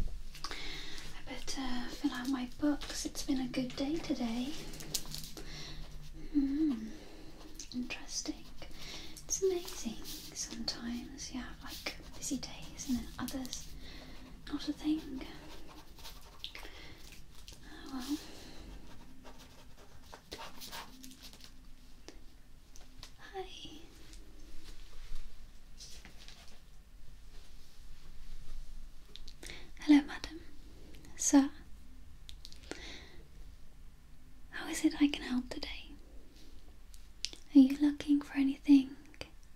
I better fill out my books. It's been a good day today. Mm, interesting. It's amazing. Sometimes you have like busy days and then others not a thing. Oh, well. Hi. Hello, madam. Sir, how is it I can help today? Are you looking for anything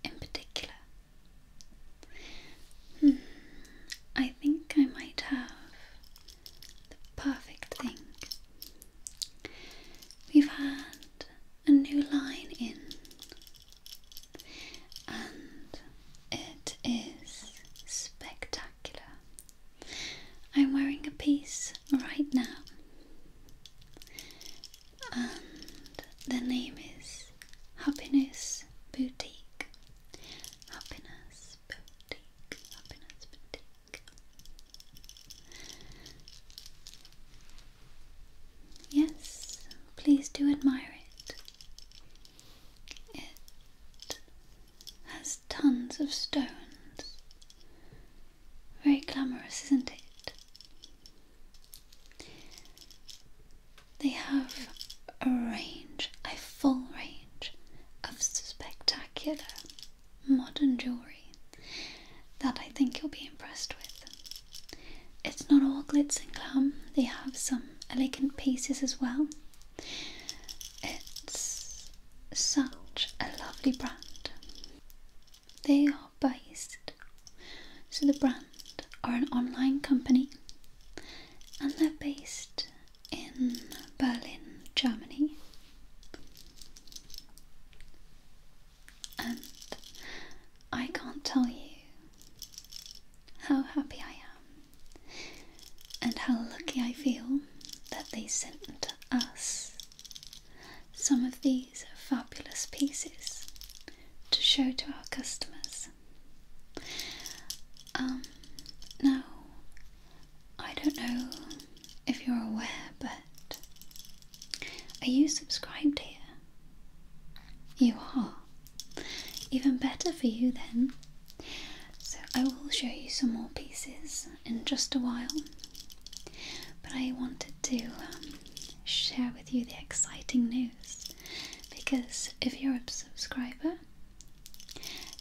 in particular? Hmm, I think I might have the perfect thing. We've had a new line in, and it is spectacular. I'm wearing a piece right now, and the name is Happiness Boutique. Happiness Boutique. Happiness Boutique. Yes, please do admire it. It has tons of stones. Very glamorous, isn't it? They have a range, a full range of spectacular modern jewellery that I think you'll be impressed with. It's not all glitz and glam, they have some elegant pieces as well. It's such a lovely brand. They are based, so the brand are an online company and they're based in Berlin, Germany and I can't tell you how happy I am and how lucky I feel that they sent to us some of these fabulous pieces to show to our customers. Um, now, I don't know if you're aware, but are you subscribed here? You are. Even better for you then. So I will show you some more pieces in just a while. But I wanted to um, share with you the exciting news because if you're a subscriber,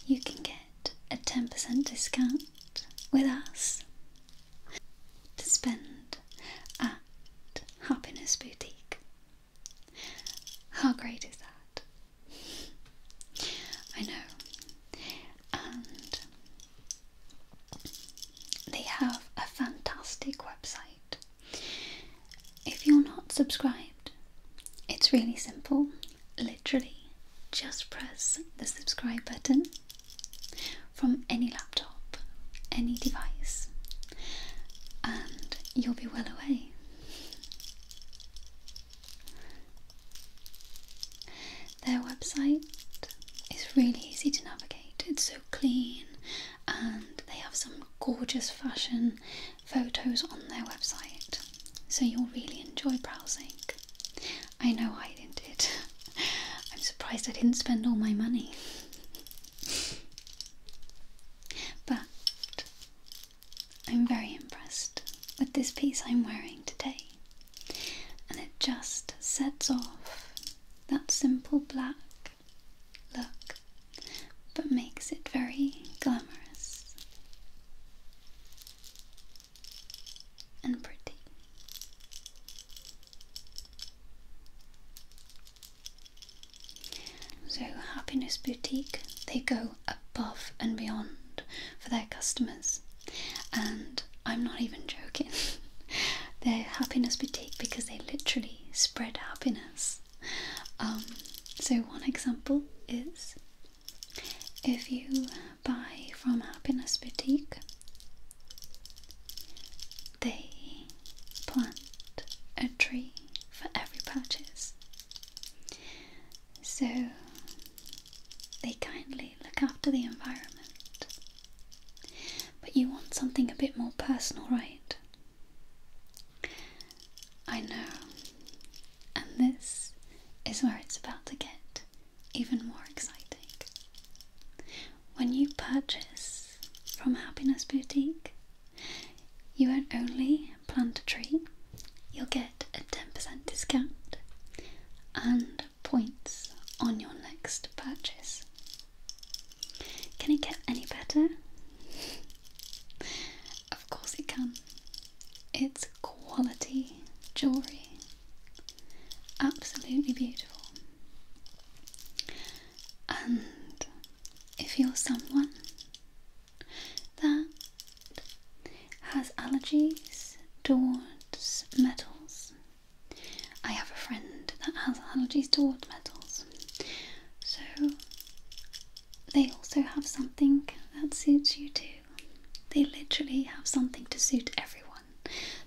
you can get a 10% discount with us to spend at Happiness Boutique. How great is that? I know. And they have a fantastic website. If you're not subscribed, it's really simple. Literally, just press the subscribe button from any laptop, any device, and you'll be well away. Their website is really easy to navigate, it's so clean, and they have some gorgeous fashion photos on their website, so you'll really enjoy browsing. I know I didn't. I'm surprised I didn't spend all my money but I'm very impressed with this piece I'm wearing today, and it just sets off that simple black look but makes it very glamorous and pretty. So, Happiness Boutique, they go above and beyond for their customers, and I'm not even joking. They're Happiness Boutique because they literally spread happiness. Um, so, one example is if you buy from Happiness Boutique, they plant a tree for every purchase. So they kindly look after the environment. But you want something a bit more personal, right? I know. And this is where it's about to get even more exciting when you purchase from Happiness Boutique, you won't only plant a tree, you'll get a 10% discount and points on your next purchase. Can it get any better? of course it can. It's quality jewellery. Absolutely beautiful. And if you're someone that has allergies towards metals, I have a friend that has allergies towards metals, so they also have something that suits you too. They literally have something to suit everyone.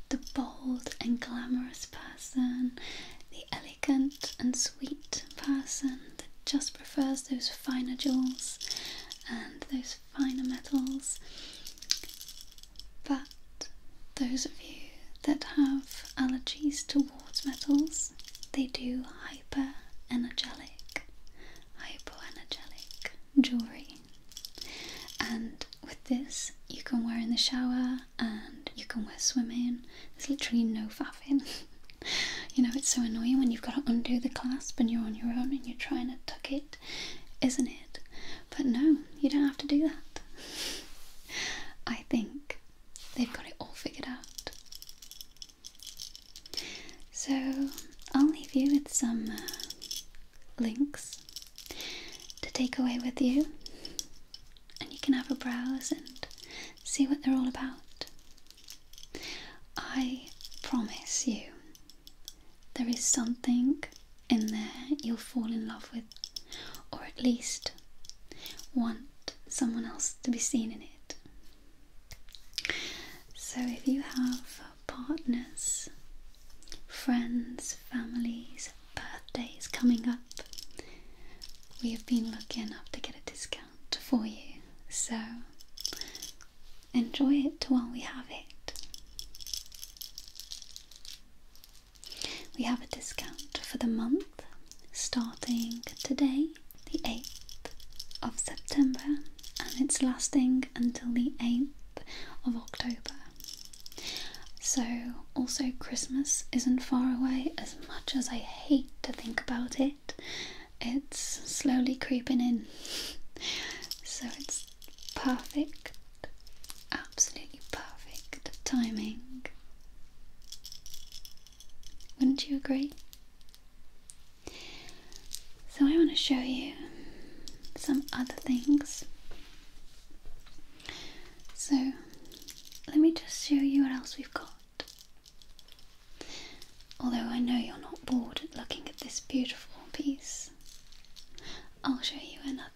The bold and glamorous person, the elegant and sweet person that just prefers those finer jewels and those finer metals. But those of you that have allergies towards metals, they do hyper energetic, hypoenergetic jewellery. And with this, you can wear in the shower, and you can wear swimming. There's literally no faffing. you know, it's so annoying when you've got to undo the clasp and you're on your own and you're trying to tuck it, isn't it? But no, you don't have to do that. I think they've got it all figured out. So I'll leave you with some uh, links to take away with you and you can have a browse and see what they're all about. I promise you, there is something in there you'll fall in love with, or at least want someone else to be seen in it. So, if you have partners, friends, families, birthday is coming up, we have been lucky enough to get a discount for you. So enjoy it while we have it. We have a discount for the month starting today, the 8th of September, and it's lasting until the 8th of October. So, also, Christmas isn't far away as much as I hate to think about it. It's slowly creeping in. so, it's perfect, absolutely perfect timing. Wouldn't you agree? So, I want to show you some other things. So, let me just show you what else we've got. Although I know you're not bored looking at this beautiful piece, I'll show you another.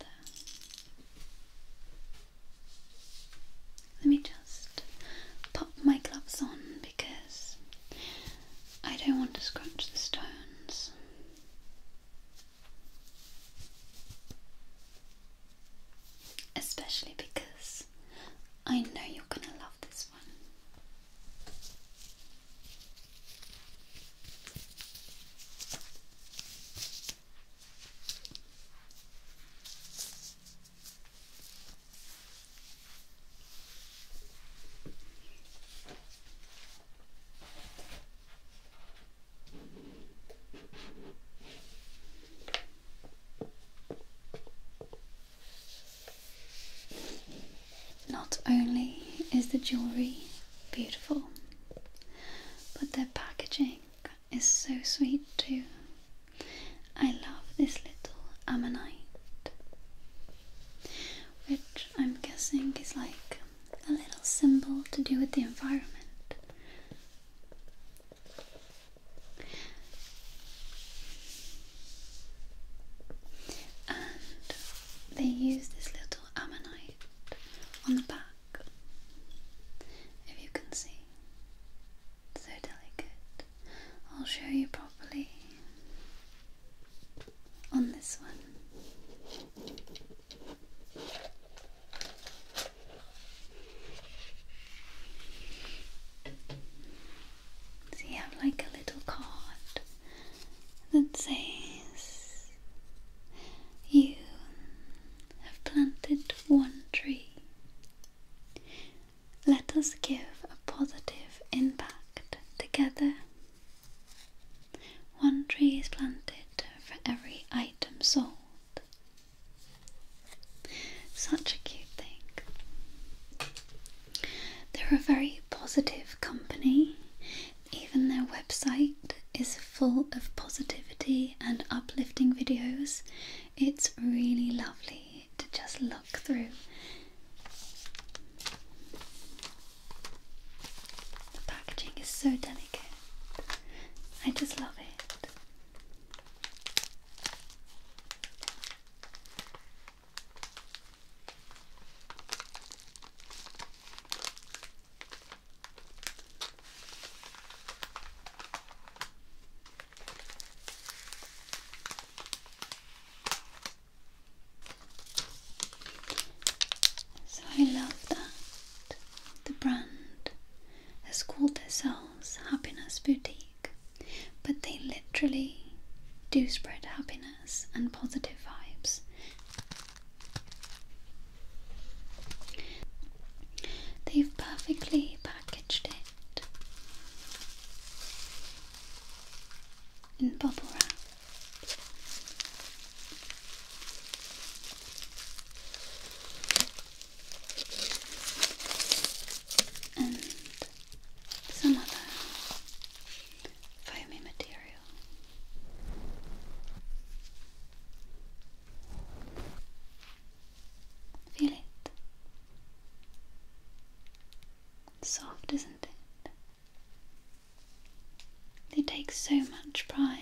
Let me just put my gloves on because I don't want to scratch the stones. Especially because I know you're gonna love this one. Not only is the jewellery beautiful, but their packaging is so sweet too. I love this little ammonite, which I'm guessing is like a little symbol to do with the environment. And they use this little ammonite on the back, if you can see. So delicate. I'll show you properly on this one. So you have like a little card that says you have planted one tree. Let us give a positive impact together. One tree is planted for every item sold. Such a cute thing. They're a very positive company. Even their website is full of positivity and uplifting videos. It's really lovely to just look through the packaging is so delicate. I just love it. So I love that the brand has called itself. Happiness Boutique, but they literally do spread happiness and positive vibes. They've perfectly packaged it in bubble wrap and some other foamy material. Feel it. Soft, isn't it? They take so much pride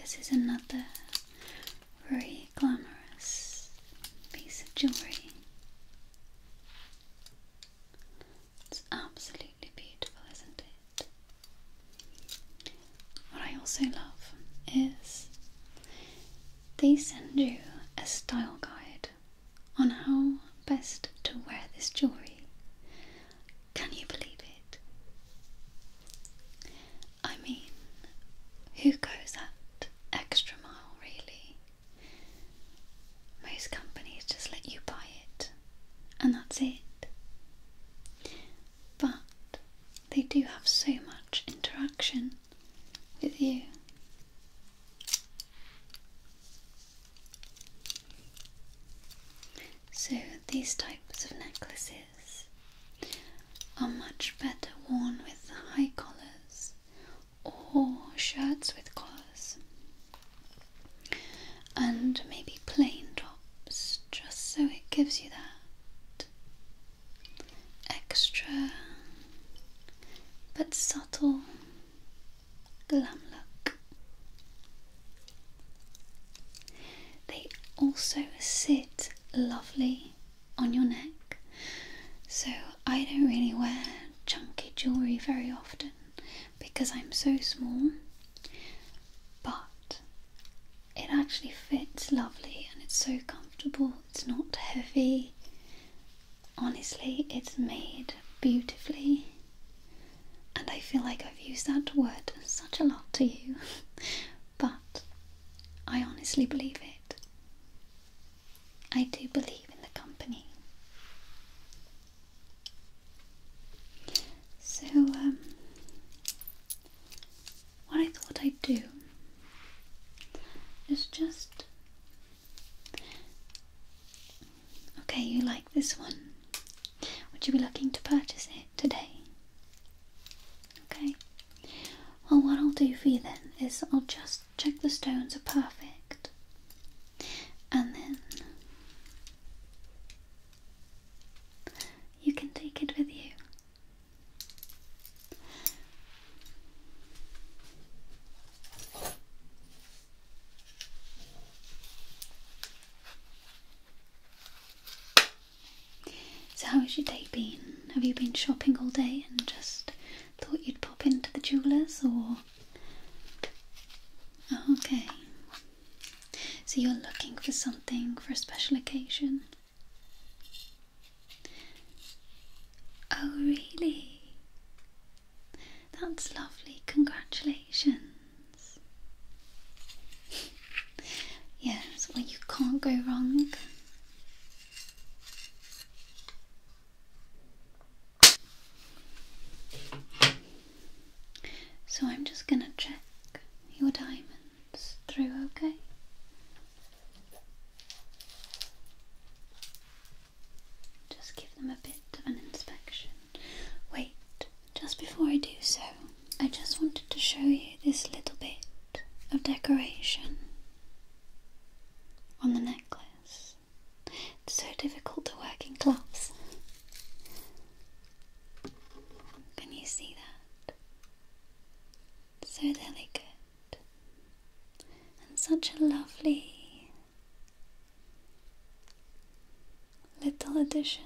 This is another very glamorous piece of jewelry. It's absolutely beautiful, isn't it? What I also love is they send you a style guide on how best to wear this jewellery. Can you believe it? I mean, who goes that extra mile, really? Most companies just let you buy it, and that's it. But they do have so much interaction with you so, these types of necklaces are much better worn with high collars or shirts with collars and maybe plain tops just so it gives you that extra but subtle glam look. They also sit lovely on your neck, so I don't really wear chunky jewellery very often because I'm so small, but it actually fits lovely and it's so comfortable, it's not heavy honestly, it's made beautifully. And I feel like I've used that word such a lot to you, but I honestly believe it. I do believe in the company. So, um, what I thought I'd do is just Okay, you like this one. Would you be looking to purchase it today? Okay. Well, what I'll do for you then is I'll just check the stones are perfect. And then you can take it with you. So, how has your day been? Have you been shopping all day and just thought you'd pop into the jeweller's or? Oh, okay. So, you're looking for something for a special occasion? Oh, really? That's lovely. Congratulations. yes, well, you can't go wrong. So I'm just going to check your diamonds through, okay? Just give them a bit of an inspection. Wait, just before I do so, I just wanted to show you this little bit of decoration on the necklace. It's so difficult to work in gloves. Can you see that? So delicate and such a lovely little addition.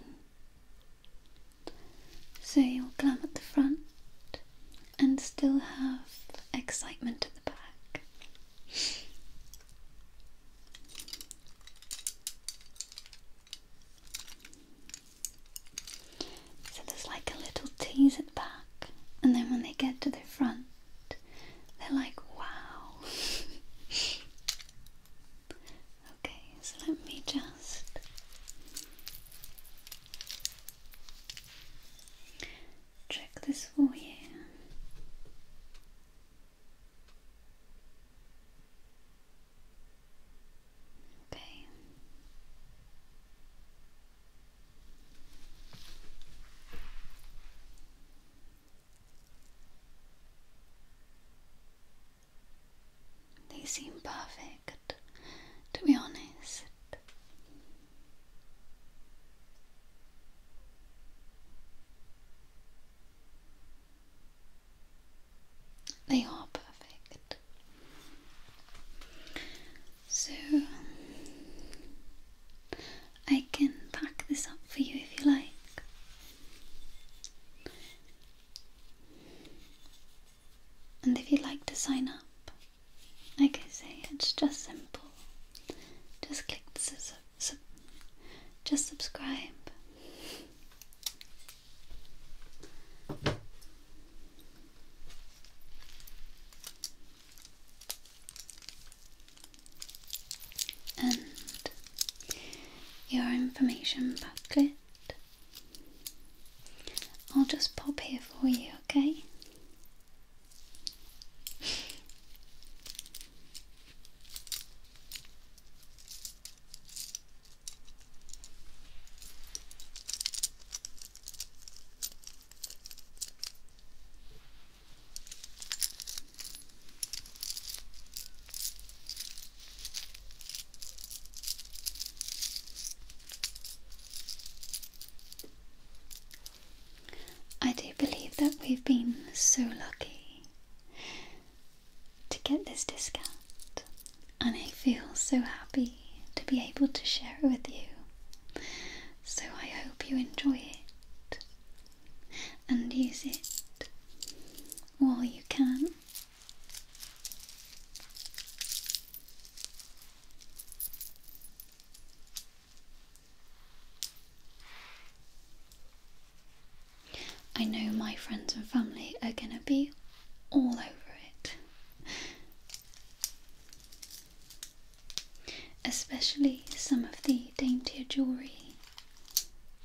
So you'll climb at the front and still have excitement at the back. So there's like a little tease at the back, and then when they get to the front, they're like, wow. okay, so let me just. Check this for you. Okay. They seem perfect, to be honest. They are perfect. So, I can pack this up for you if you like. And if you'd like to sign up, I can say, it's just simple. Just click su just subscribe and your information booklet. I'll just pop here for you, okay? I do believe that we've been so lucky to get this discount, and I feel so happy to be able to share it with you. So I hope you enjoy it and use it while you can. I know my friends and family are going to be all over it, especially some of the daintier jewellery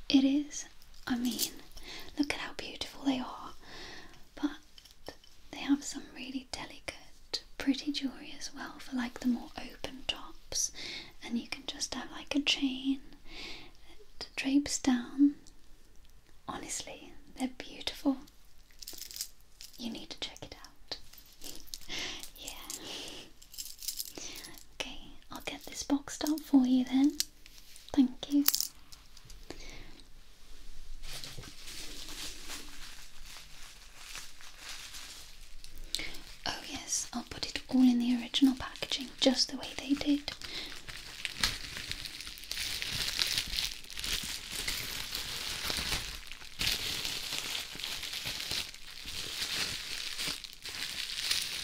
it is. I mean, look at how beautiful they are. But they have some really delicate, pretty jewellery as well for like the more open tops. And you can just have like a chain that drapes down. Honestly, they're beautiful. You need to check it out. yeah. Okay, I'll get this boxed up for you then. Thank you. Oh, yes, I'll put it all in the original packaging just the way they did.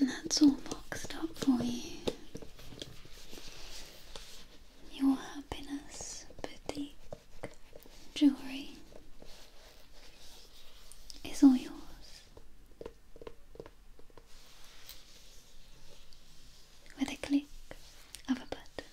And that's all boxed up for you. Your happiness boutique jewelry is all yours. With a click of a button.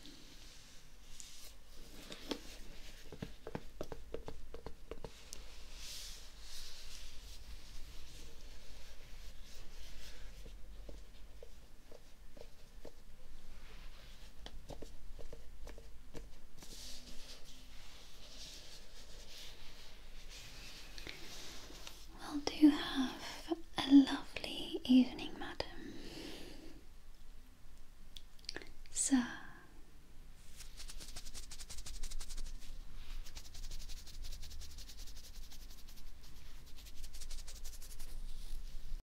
Well, do have a lovely evening, madam. Sir.